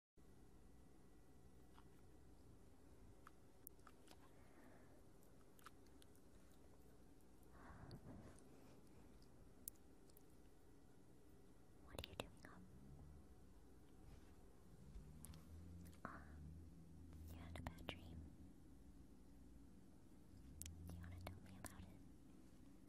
What are you doing up? Uh, you had a bad dream. Do you want to tell me about it?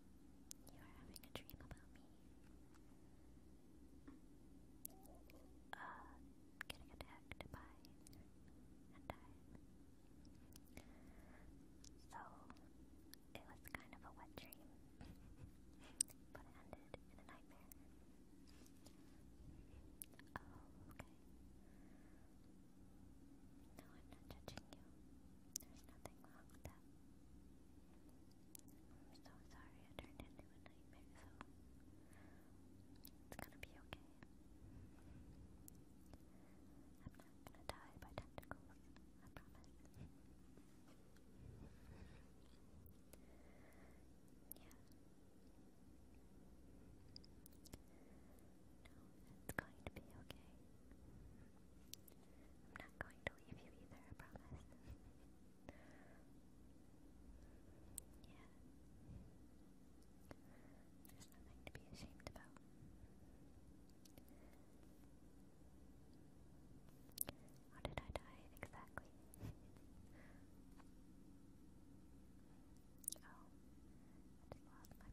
You are having a dream about me. getting attacked by and died. So, it was kind of a wet dream, but it ended in a nightmare. Oh, No, I'm not judging you. There's nothing wrong with that. I'm so sorry I turned into a nightmare, so it's gonna be okay. I'm not gonna die by tentacles, I promise. yeah. No, it's going to be okay. I'm not going to leave you either, I promise. There's nothing to be ashamed about. How did I die exactly? oh, I lost my breath.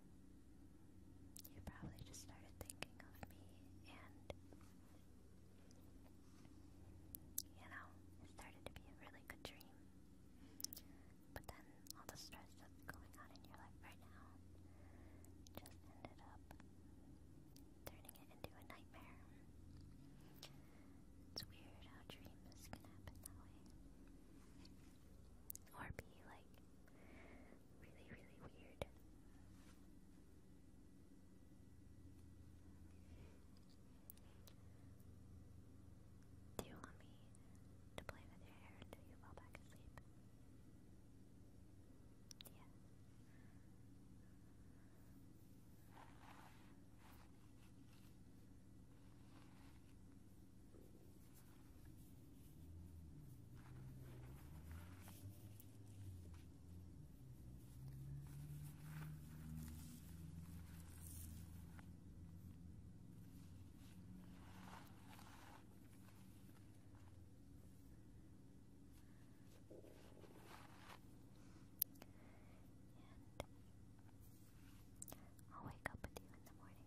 You probably just started thinking of me and, you know, it started to be a really good dream. But then all the stress that's going on in your life right now just ended up turning it into a nightmare. It's weird how dreams can happen that way. Or be like really, really weird. Do you want me to play with your hair until you fall back asleep? Yeah. And I'll wake up with you in the morning.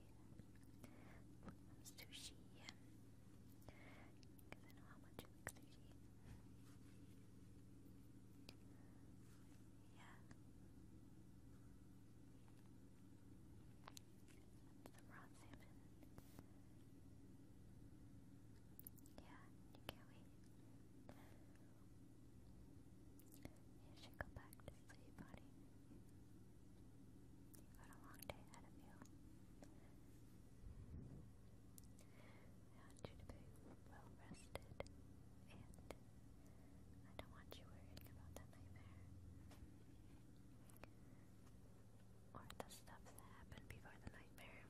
Sushi. you sushi. Yeah. Some raw salmon. Yeah, you can't wait. You should go back to sleep, honey. You've a long day ahead you. I want you to be well rested, and I don't want you worrying about that nightmare or the stuff that happened before the nightmare,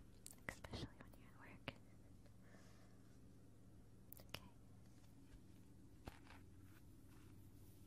especially when you're at work. Okay.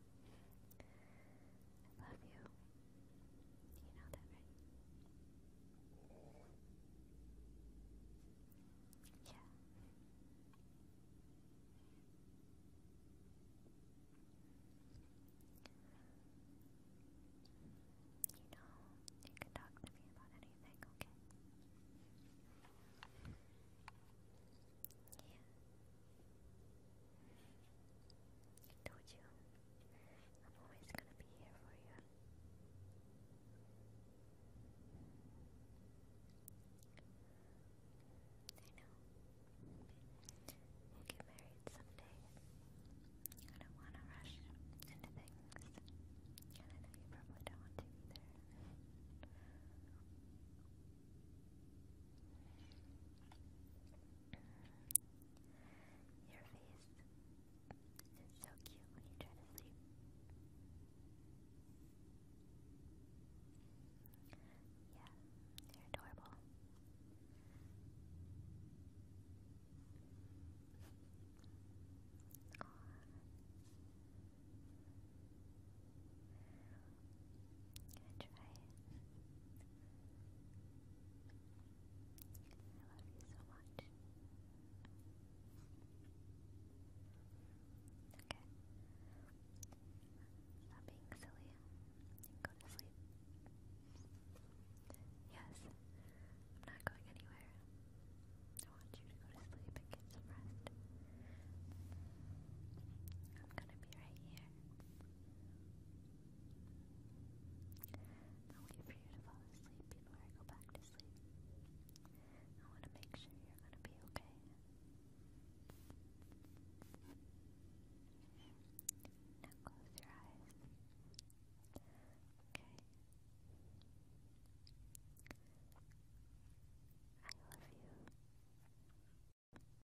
I love you. You know that, right? Yeah. You know, you can talk to me about anything, okay? Yeah. I told you, I'm always gonna be here for you. I know. get married someday. I don't want to rush into And I know you probably don't either. Your face is so cute when you try to sleep. Yeah, they're adorable. Aww. I I love you so much. Okay. Stop being silly go to sleep. Yes, I'm not going anywhere. I want you to go to sleep and get some rest. I'm gonna be right here i wait for you to fall asleep before I go back to sleep. I want to make sure you're going to be okay. Now close your eyes. Okay. I love you.